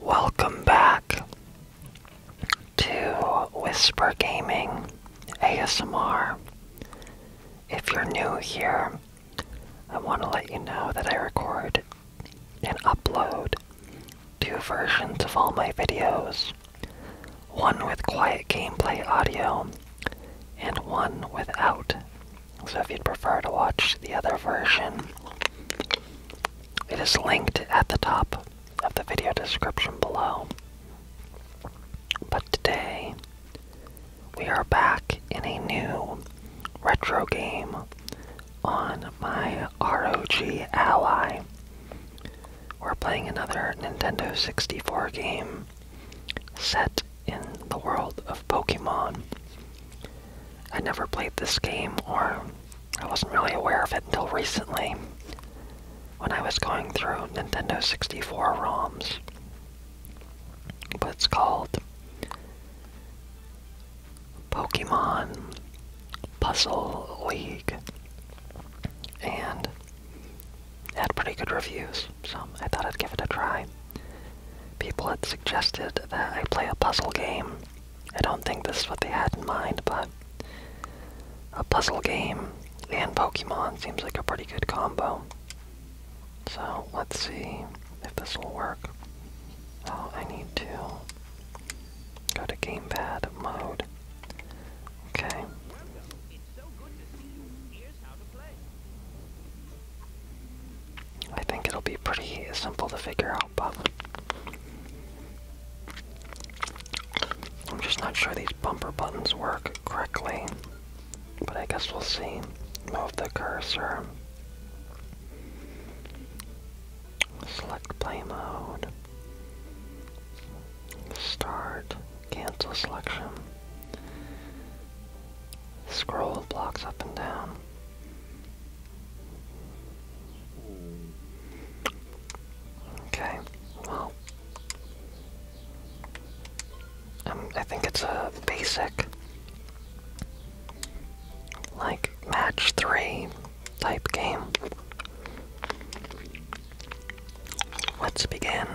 Welcome back to Whisper Gaming ASMR. If you're new here, I want to let you know that I record and upload two versions of all my videos one with quiet gameplay audio and one without so if you'd prefer to watch the other version, it is linked at the top of the video description below. But today, we are back in a new retro game on my ROG Ally. We're playing another Nintendo 64 game set in the world of Pokemon. I never played this game, or I wasn't really aware of it until recently when I was going through Nintendo 64 ROMs. But it's called Pokemon Puzzle League. And had pretty good reviews, so I thought I'd give it a try. People had suggested that I play a puzzle game. I don't think this is what they had in mind, but a puzzle game and Pokemon seems like a pretty good combo. So let's see if this will work. Oh, I need to go to gamepad mode. Okay. I think it'll be pretty simple to figure out, but I'm just not sure these bumper buttons work correctly. But I guess we'll see. Move the cursor. Select play mode. Start. Cancel selection. Scroll blocks up and down. Okay, well, um, I think it's a basic, like, match three type game. Let's begin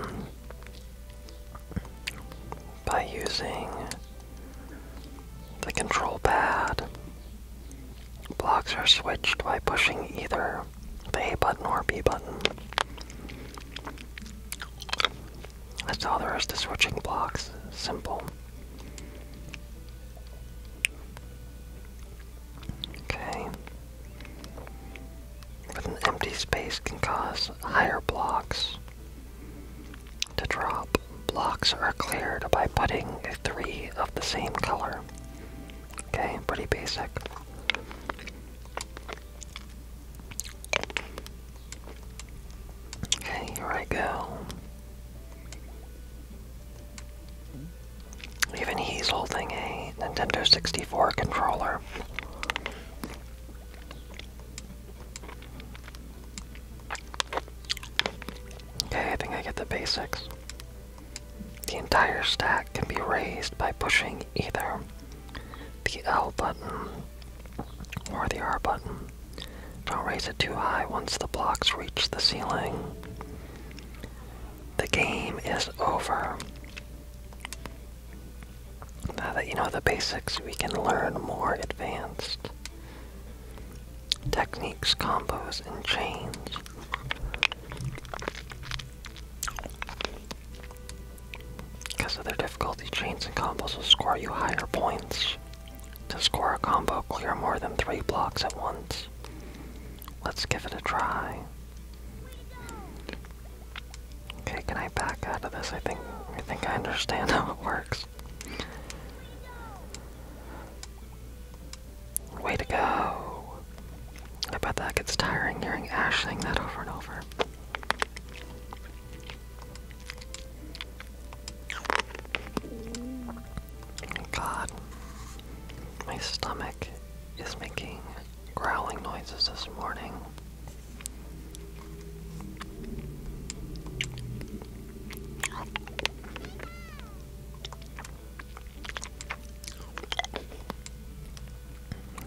by using the control pad. Blocks are switched by pushing either the A button or B button. That's all there is to switching blocks. Simple. Okay with an empty space can cause higher blocks to drop. Blocks are cleared by putting three of the same color. Okay, pretty basic. Okay, here I go. Even he's holding a Nintendo 64 controller. Okay, I think I get the basics. The entire stack can be raised by pushing either the L button or the R button. Don't raise it too high once the blocks reach the ceiling. The game is over. Now that you know the basics, we can learn more advanced techniques, combos, and chains. Because of their difficulty, chains and combos will score you higher points. To score a combo, clear more than three blocks at once. Let's give it a try. Okay, can I back out of this? I think I think I understand how it works. Way to go! I bet that gets tiring hearing Ash that over and over. God, my stomach is making growling noises this morning.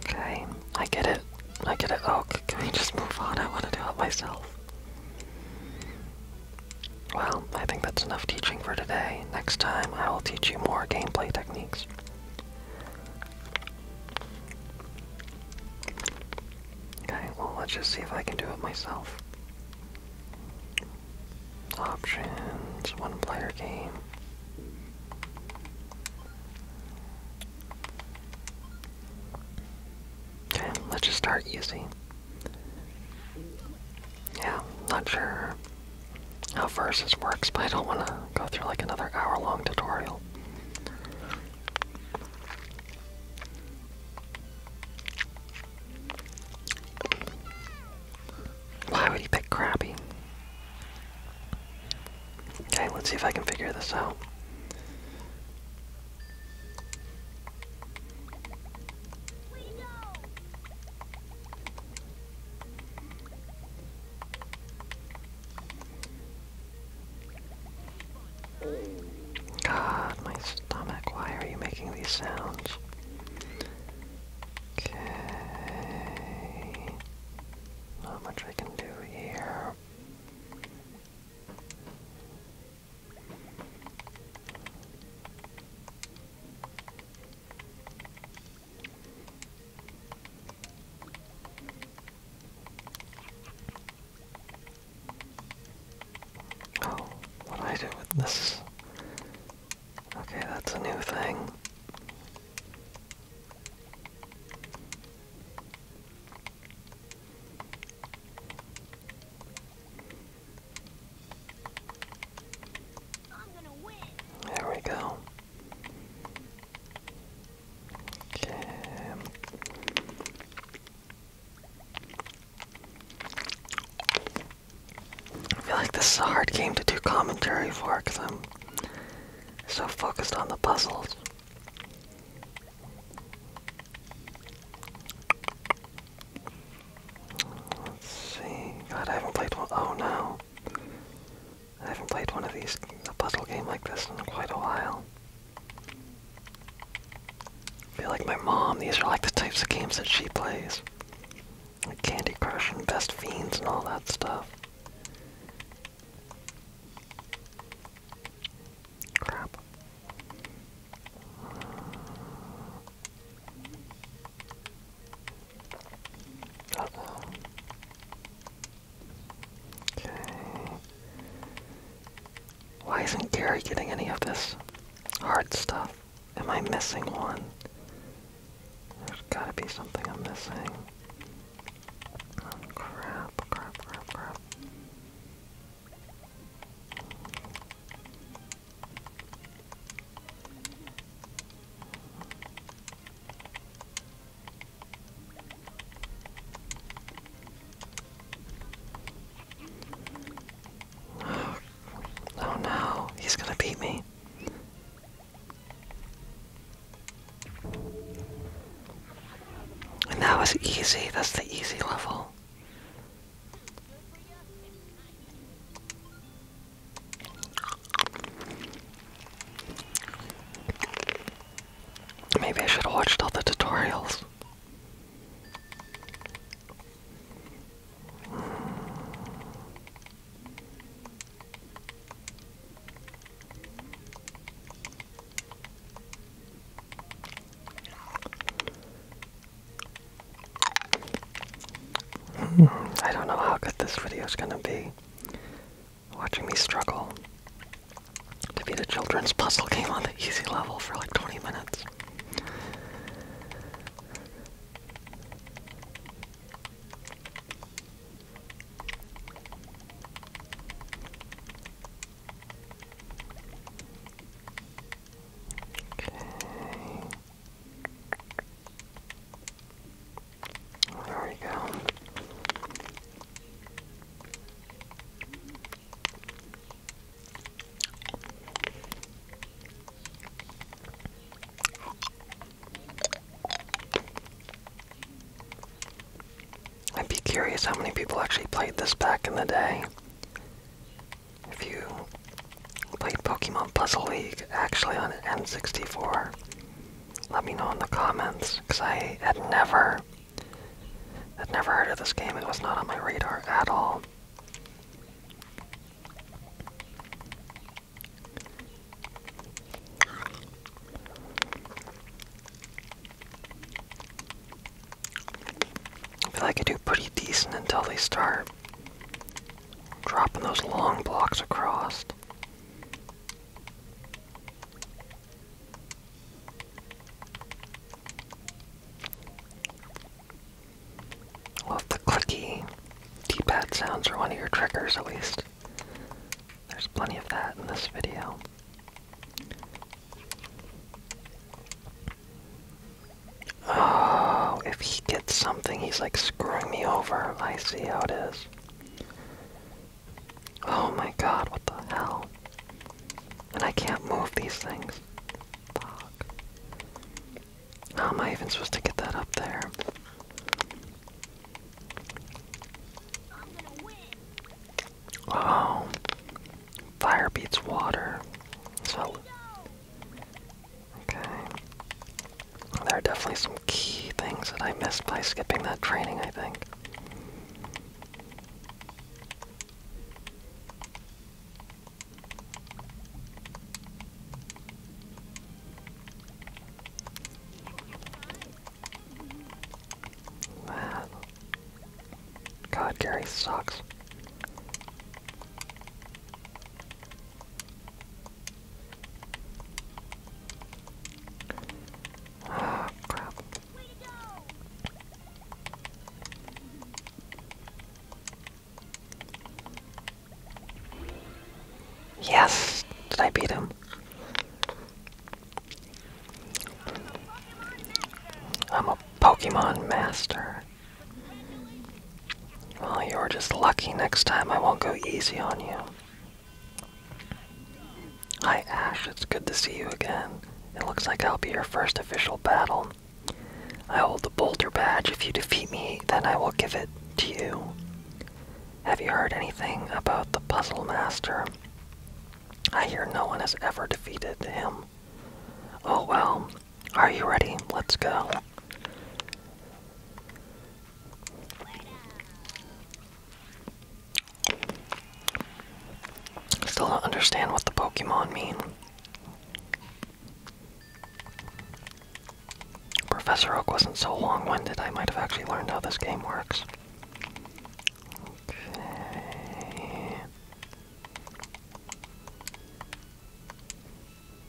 Okay, I get it. I get it. Okay, oh, can we just move on? I want to do it myself. Well, I think that's enough teaching for today. Next time, I will teach you more gameplay techniques. Okay, well, let's just see if I can do it myself. Options, one player game. Okay, let's just start using. Yeah, not sure how far this works, but I don't want to go through like another hour long tutorial. Why would you pick crappy? Okay, let's see if I can figure this out. God, my stomach, why are you making these sounds? Okay. Not much I can do here. Oh, what do I do with this? Okay, that's a new thing. There we go. I feel like this is a hard game to do commentary for because I'm so focused on the puzzles. Let's see. God, I haven't played one. Oh no. I haven't played one of these, puzzle game like this in quite a while. I feel like my mom, these are like the types of games that she plays. Like Candy Crush and Best Fiends and all that stuff. Crap. Okay. Why isn't Gary getting any of this hard stuff? Am I missing one? There's gotta be something I'm missing. Oh, crap, crap, crap, crap. Oh, no, he's gonna beat me. And that was easy, that's the easy level. Maybe I should have watched all the tutorials. I don't know how good this video is going to be. Watching me struggle to beat a children's puzzle game on the easy level for like 20 minutes. Okay. There we go. I'd be curious how many people actually played this back in the day. If you played Pokemon Puzzle League actually on an N64? Let me know in the comments, because I had never, had never heard of this game. It was not on my radar at all. I feel like I do pretty decent until they start Dropping those long blocks across. Well, if the clicky d sounds are one of your triggers, at least. There's plenty of that in this video. Oh, if he gets something, he's like screwing me over. I see how it is. Oh my god, what the hell? And I can't move these things. How am I even supposed to get that up there? i oh. Fire beats water. So Okay. There are definitely some key things that I missed by skipping that training, I think. Man. God, Gary sucks crap. Yes! Did I beat him? I'm a Pokemon master. Well, you are just lucky next time. I won't go easy on you. Hi, Ash. It's good to see you again. It looks like I'll be your first official battle. I hold the Boulder Badge. If you defeat me, then I will give it to you. Have you heard anything about the Puzzle Master? I hear no one has ever defeated him. Oh well, are you ready? Let's go. Still don't understand what the Pokemon mean. Professor Oak wasn't so long winded, I might have actually learned how this game works.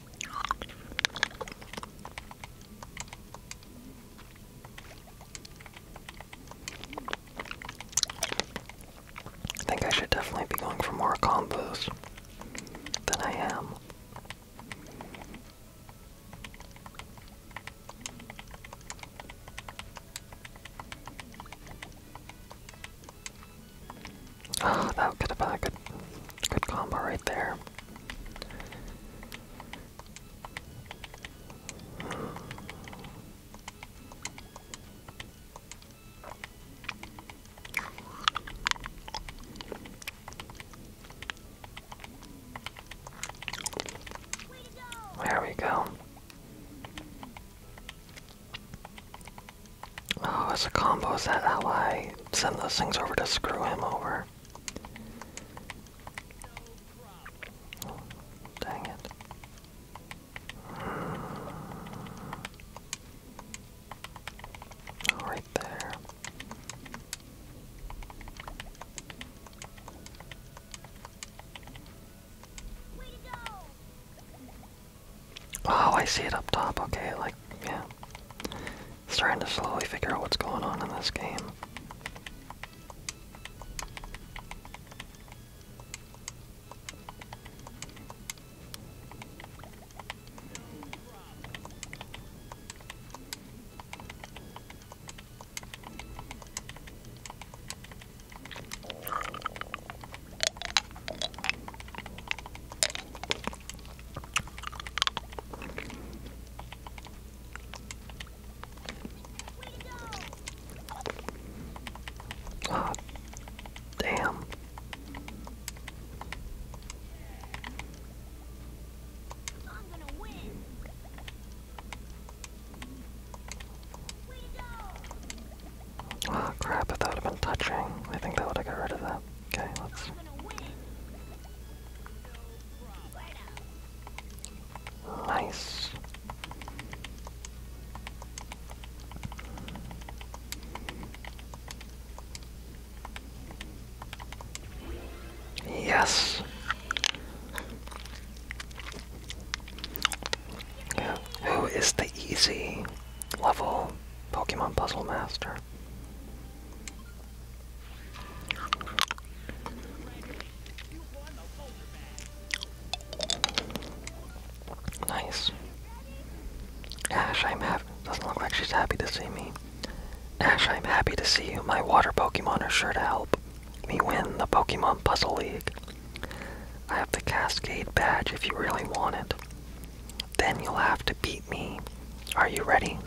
I think I should definitely be going for more combos than I am. Oh, that could have been a good, good combo right there. There we go. Oh, it's a combo. Is that how I send those things over to screw him over? dang it. Hmm. right there. Oh, I see it up top. Okay, like, yeah. Starting to slowly figure out what's going on in this game. Oh, damn. Oh crap, if that would been touching, I think that would have got rid of that. Okay, let's. Nice. Yes. Who is the easy? level Pokemon Puzzle Master. Nice. Ash, I'm happy. Doesn't look like she's happy to see me. Ash, I'm happy to see you. My water Pokemon are sure to help me win the Pokemon Puzzle League. I have the Cascade badge if you really want it. Then you'll have to beat me. Are you ready?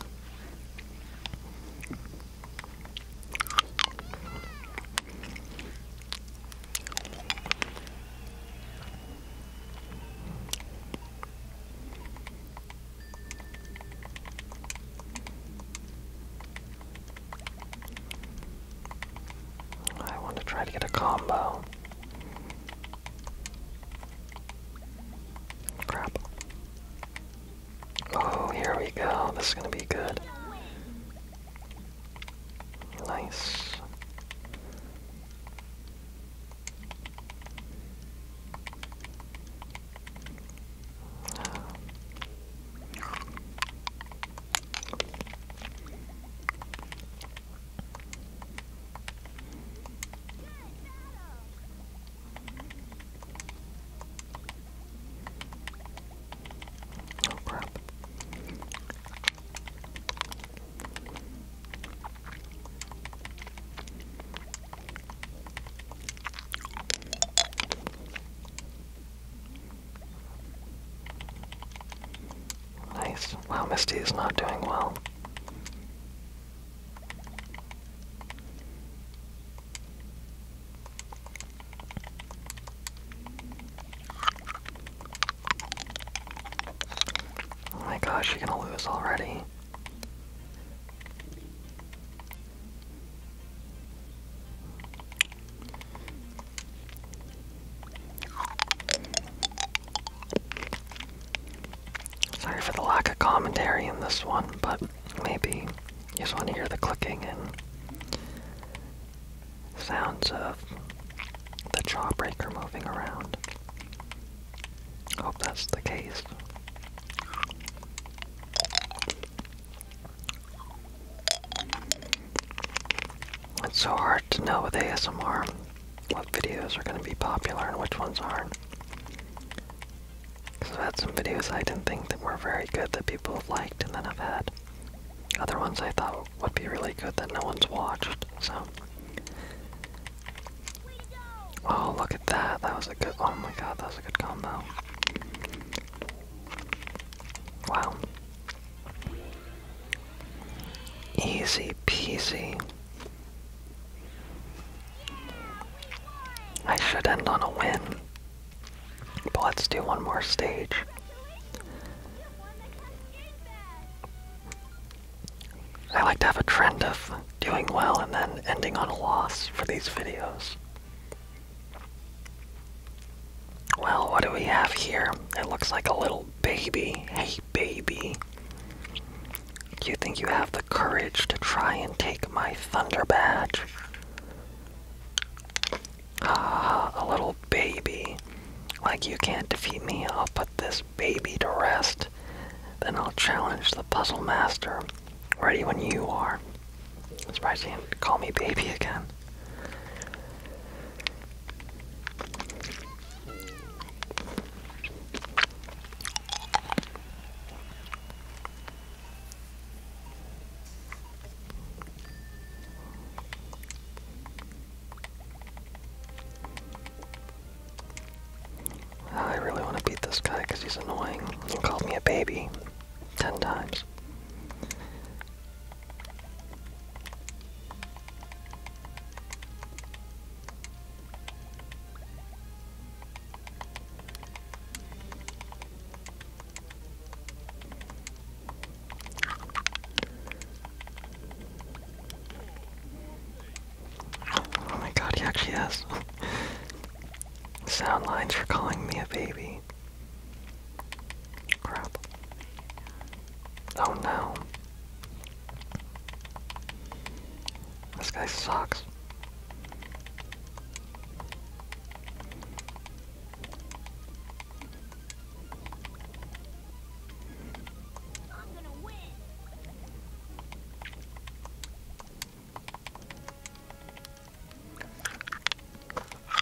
I want to try to get a combo. Crap. Oh, here we go. This is gonna be good. Nice. Oh crap. Nice. Well, Misty is not doing well. Oh my gosh, you're gonna lose already. Sorry for the lack of commentary in this one, but maybe you just want to hear the clicking and sounds of the jawbreaker moving around. Hope that's the case. It's so hard to know with ASMR what videos are going to be popular and which ones aren't. I've had some videos I didn't think that were very good that people have liked, and then I've had other ones I thought would be really good that no one's watched, so. Oh, look at that. That was a good. Oh my god, that was a good combo. Wow. Easy peasy. I should end on a win. But let's do one more stage. I like to have a trend of doing well and then ending on a loss for these videos. Well, what do we have here? It looks like a little baby. Hey, baby. Do you think you have the courage to try and take my thunder badge? Ah, a little baby. Like you can't defeat me, I'll put this baby to rest. Then I'll challenge the puzzle master. Ready when you are. I'm surprised you didn't call me baby again. Oh, I really want to beat this guy because he's annoying. He called me a baby ten times. Oh my god, he actually has sound lines for calling me a baby. Crap. Oh no. This guy sucks.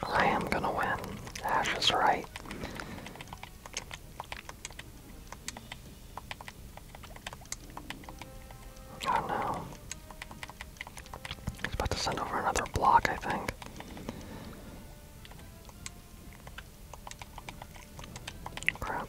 I am gonna win. Ash is right. Oh no. He's about to send over another block, I think. Crap.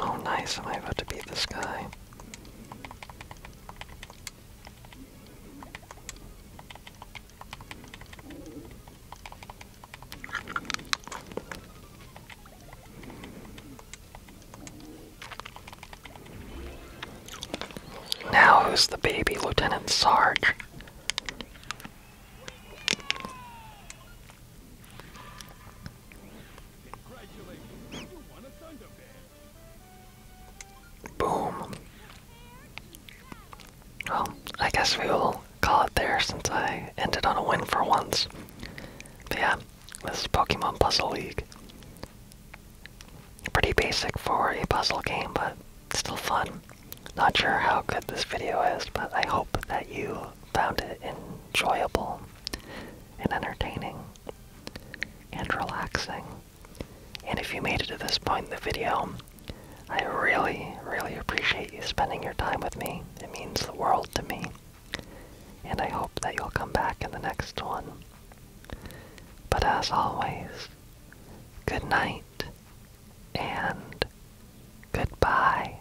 Oh nice, am I about to beat this guy? Now who's the baby, Lieutenant Sarge? Boom. Well, I guess we will call it there since I ended on a win for once. But yeah, this Pokemon Puzzle League. Pretty basic for a puzzle game, but still fun. Not sure how good this video is, but I hope that you found it enjoyable and entertaining and relaxing. And if you made it to this point in the video, I really, really appreciate you spending your time with me. It means the world to me. And I hope that you'll come back in the next one. But as always, good night and goodbye.